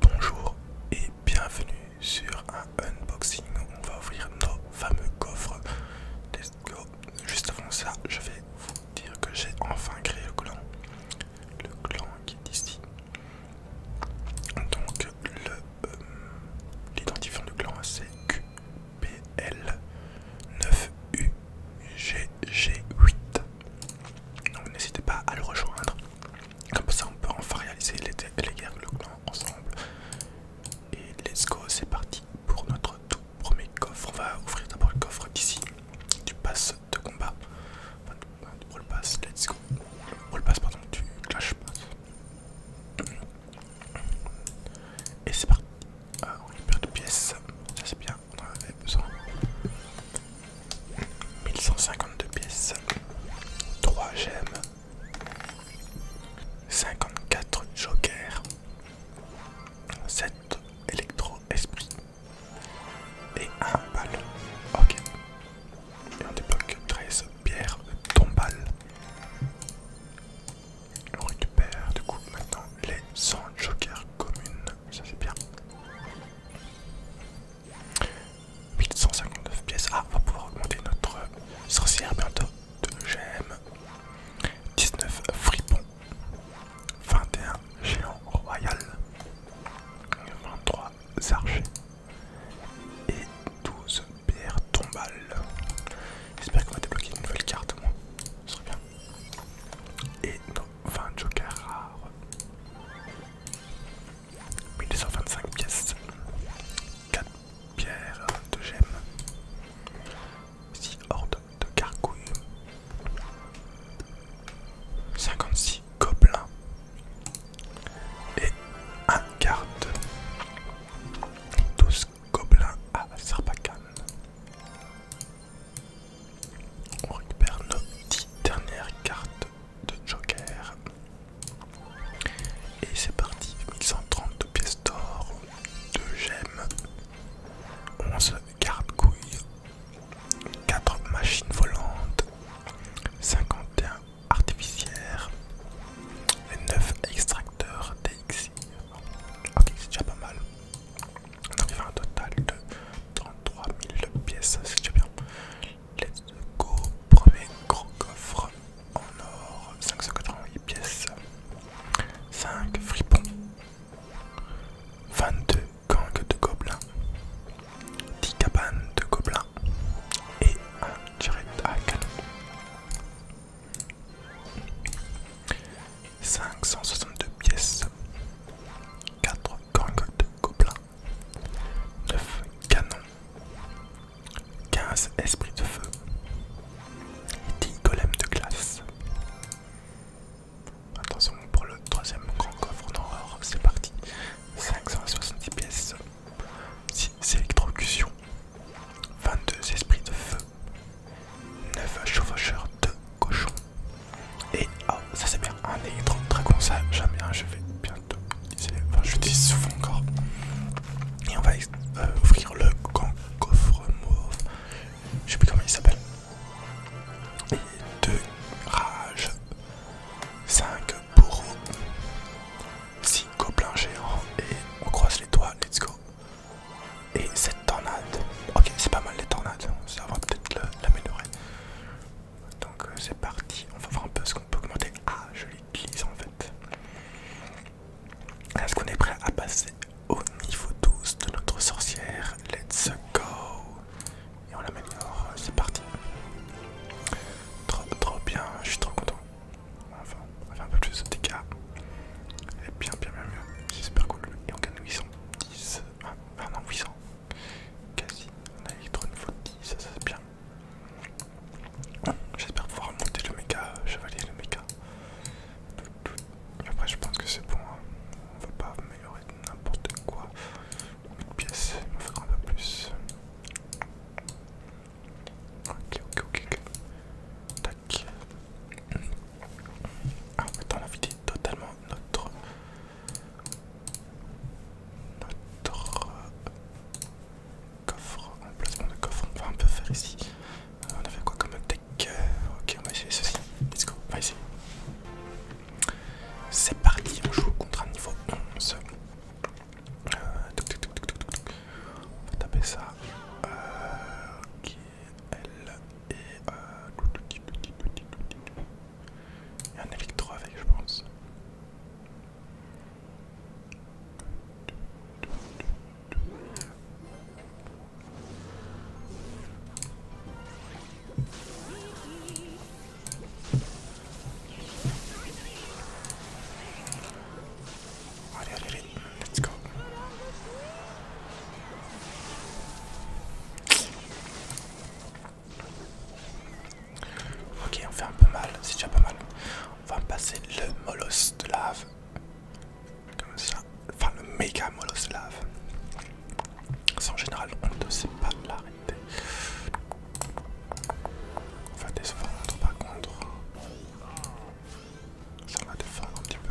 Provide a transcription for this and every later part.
Bonjour et bienvenue sur un unboxing. On va ouvrir nos fameux coffres. Let's Juste avant ça, je vais vous dire que j'ai enfin créé le clan. Le clan qui est ici. Donc euh, l'identifiant du clan c'est QPL9UGG8. Donc n'hésitez pas à le rejoindre. Comme ça, on peut enfin réaliser les, guerres de clan ensemble. Et let's go, c'est parti pour notre tout premier coffre. On va ouvrir d'abord le coffre d'ici, du pass de combat. Enfin, du roll pass, let's go. Brawl pass, pardon, du clash pass. Et c'est parti. Ah, on récupère deux pièces, ça c'est bien, on en avait besoin. 1152 pièces, 3 gemmes, 54 jokers, 7 électro-esprit et 1 bal Ok. Et on débloque 13 pierres tombales. On récupère du coup maintenant les 100 jokers communes. Ça c'est bien. 859 pièces. Ah, on va pouvoir augmenter notre sorcière bientôt. de gemmes. 19 fripons. 21 géants royal. 23 archers. Et 12 pierres tombales. J'espère qu'on va débloquer une nouvelle carte au moins. Ce serait bien. Et nos 20 jokers rares. 1225 pièces, 4 pierres de gemmes, 6 hordes de carcouille 56 gobelins et 1 carte 12 gobelins à Sarpacan On récupère nos 10 dernières cartes de Joker. Et c'est parti, 1132 pièces d'or, 2 gemmes, 11 garde-couilles, 4 machines volantes, 51 artificières, et 9 extracteurs d'exil ah, Ok, c'est déjà pas mal. On arrive à un total de 33 000 pièces, c'est déjà bien. Let's go, premier gros coffre en or, 588 pièces, 5 fripons, 22 gangs de gobelins, 10 cabanes de gobelins et un direct à canon. 562 pièces, 4 gangs de gobelins, 9 canons, 15 esprits de feu, 10 golems de glace. Attention pour le troisième grand coffre d'horreur, c'est parti. 570 pièces, 6 électrocutions, 22 esprits de feu, 9 chauffeurs de cochon. Et oh, ça c'est bien, un électro dragon, ça j'aime bien, je vais bien je dis souvent encore. Et on va euh, ouvrir le coffre mauve. Je sais plus comment il s'appelle. Et deux rages. 5 bourreaux. Six gobelins géants. Et on croise les doigts, let's go. Et cette tornade. Ok, c'est pas mal les tornades. Ça va peut-être l'améliorer. Donc euh, c'est parti, on va voir un peu ce qu'on peut augmenter. Ah, je l'utilise en fait. Est-ce qu'on est prêt à passer au niveau 12 de notre sorcière Let's go Et on l'améliore, c'est parti. Trop, trop bien, je suis trop content. Enfin, on fait un peu plus de dégâts. Et bien, bien, bien, bien. C'est super cool. Et on gagne 810. Ah, non, 800. Quasi, on a Electron faute, ça, ça c'est bien. J'espère pouvoir monter le méga euh, chevalier, le méga. Après, je pense que c'est bon. Hein. On va pas améliorer n'importe quoi. Une pièce, il m'en faudra un peu plus. Ok, ok, ok, ok. Tac. Ah, maintenant, on a vidé totalement notre notre coffre, placement de coffre, on va un peu faire ici. Euh, on fait quoi comme deck Ok, on va essayer ceci. Let's go, on va essayer. C'est parti, on joue contre un niveau 11. Euh, on va taper ça. Euh, ok, elle et. Il y en a un électro avec, je pense. Allez, allez, allez, let's go. Ok, on fait un peu mal, c'est déjà pas mal. On va passer le molosse de lave. Comme ça. Enfin, le méga molosse de lave. en général, on ne sait pas l'arrêter. On va défendre par contre. Ça va défendre un petit peu.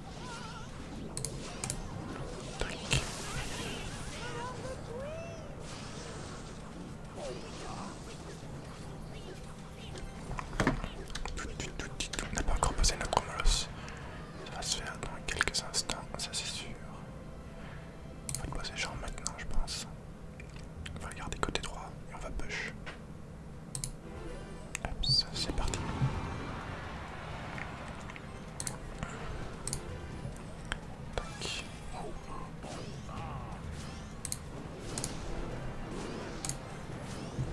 comme On n'a pas encore posé notre molosse. Ça va se faire dans quelques instants, ça c'est sûr. On va le poser genre maintenant, je pense. On va regarder côté droit et on va push. Hop, c'est parti. Tak.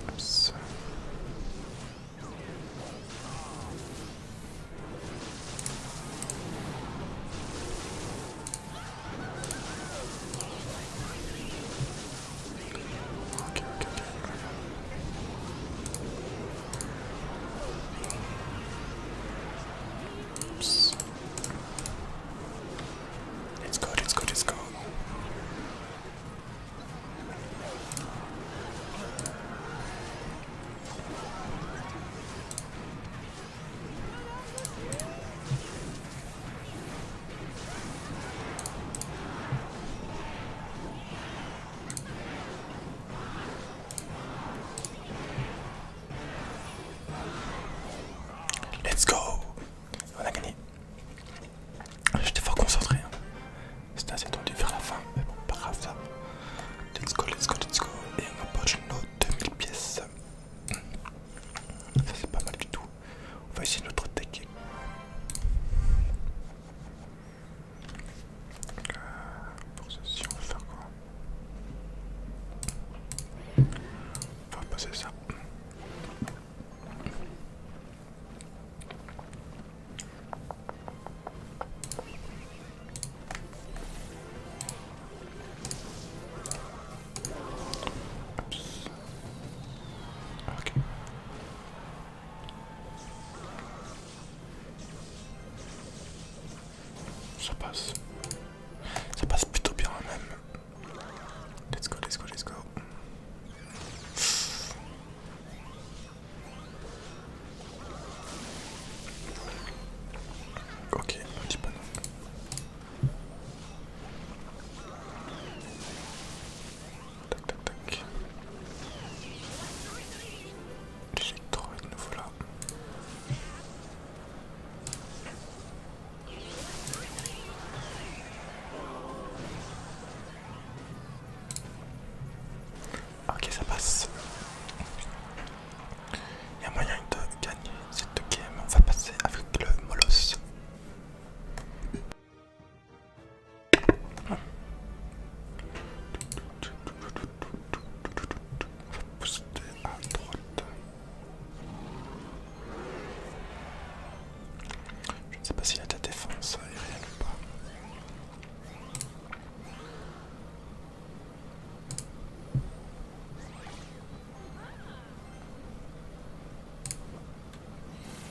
Oops. Okay, okay, okay. Oops. It's good, it's good, it's good. Let's go On a gagné. J'étais fort concentré. Hein. C'était assez tendu vers la fin, mais bon, pas grave ça. Let's go, let's go, let's go. Et on approche nos 2000 pièces. Ça c'est pas mal du tout. On va essayer notre deck pour ceci, on va faire quoi On va passer ça. Ok. Ça passe. Ça passe plutôt bien hein, même. Let's go, let's go, let's go. Ok, petit panneau. Tac tac tac. J'ai trouvé de nouveau là. Ah, ok ça passe. Il y a moyen de gagner cette game. On va passer avec le Molos pousser à droite. Je ne sais pas si la hein, a défense la défense ou pas.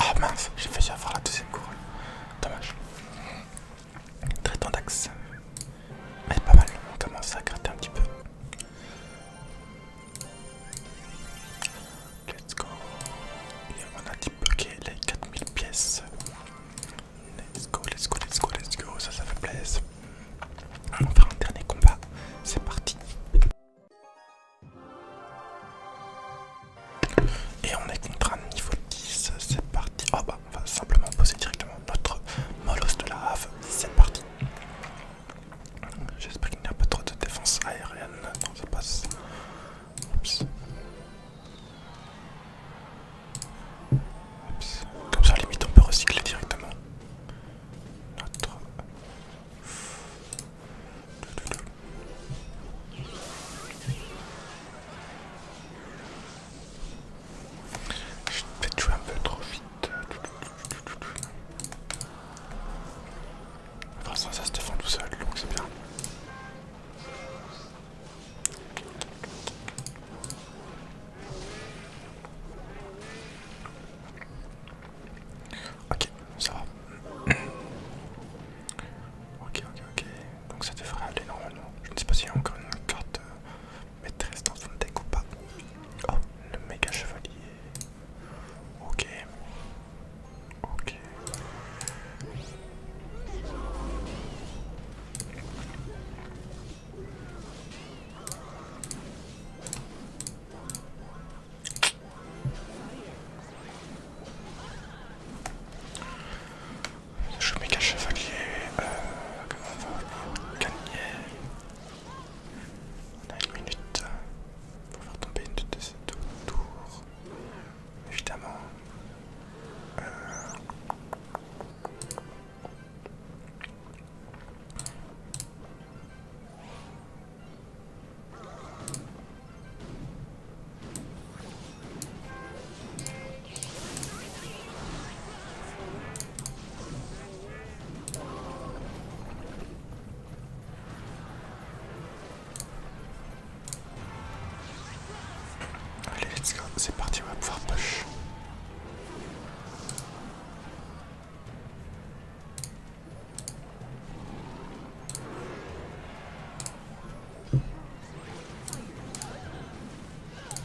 Ah mince, j'ai failli avoir la deuxième couronne. Dommage. Traitant d'axe. Mais pas mal, on commence à gratter un petit peu. Let's go. Et on a débloqué les 4000 pièces. Let's go, let's go, let's go, let's go. Ça, ça fait plaisir. On va faire un dernier combat. C'est parti. Et on est contre un niveau 10. C'est parti. Oh, on va simplement poser directement notre Molos de la Have. C'est partie. J'espère qu'il n'y a pas trop de défense aérienne. Non, ça passe. Comme ça, limite, on peut recycler directement notre. Je vais jouer un peu trop vite. Enfin, ça, ça se défend tout seul, donc c'est bien. Ok, ça va. ok, ok, ok. Donc ça devrait aller normalement. Je ne sais pas s'il y a encore une carte euh, Maîtresse dans son deck ou pas Oh, le méga chevalier. Ok. Ok. Je méga chevalier. Euh, va On a une minute pour faire tomber une de ces deux tours. Évidemment. Allez, let's go, c'est parti, on va pouvoir push.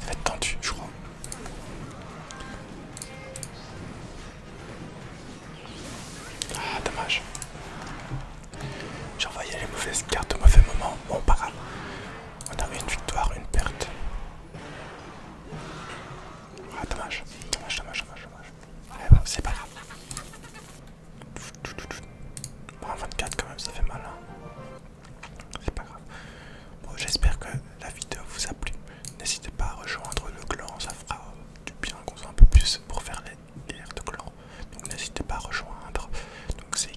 Ça tendu, je crois. Ah, dommage. J'ai envoyé les mauvaises cartes au mauvais moment. Bon, pas grave. On a une victoire, une perte. Ah, dommage. Dommage, dommage, dommage, dommage. Eh ben, c'est pas grave. Bon, 24 quand même, ça fait mal. Hein. C'est pas grave. Bon, j'espère que la vidéo vous a plu. N'hésitez pas à rejoindre le clan, ça fera du bien qu'on soit un peu plus pour faire les guerres de clan. Donc n'hésitez pas à rejoindre. Donc c'est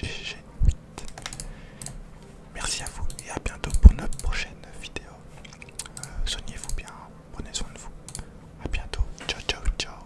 QPL9UGG8. Merci à vous et à bientôt pour notre prochaine vidéo. Euh, soignez-vous bien, prenez soin de vous. à bientôt, ciao ciao ciao.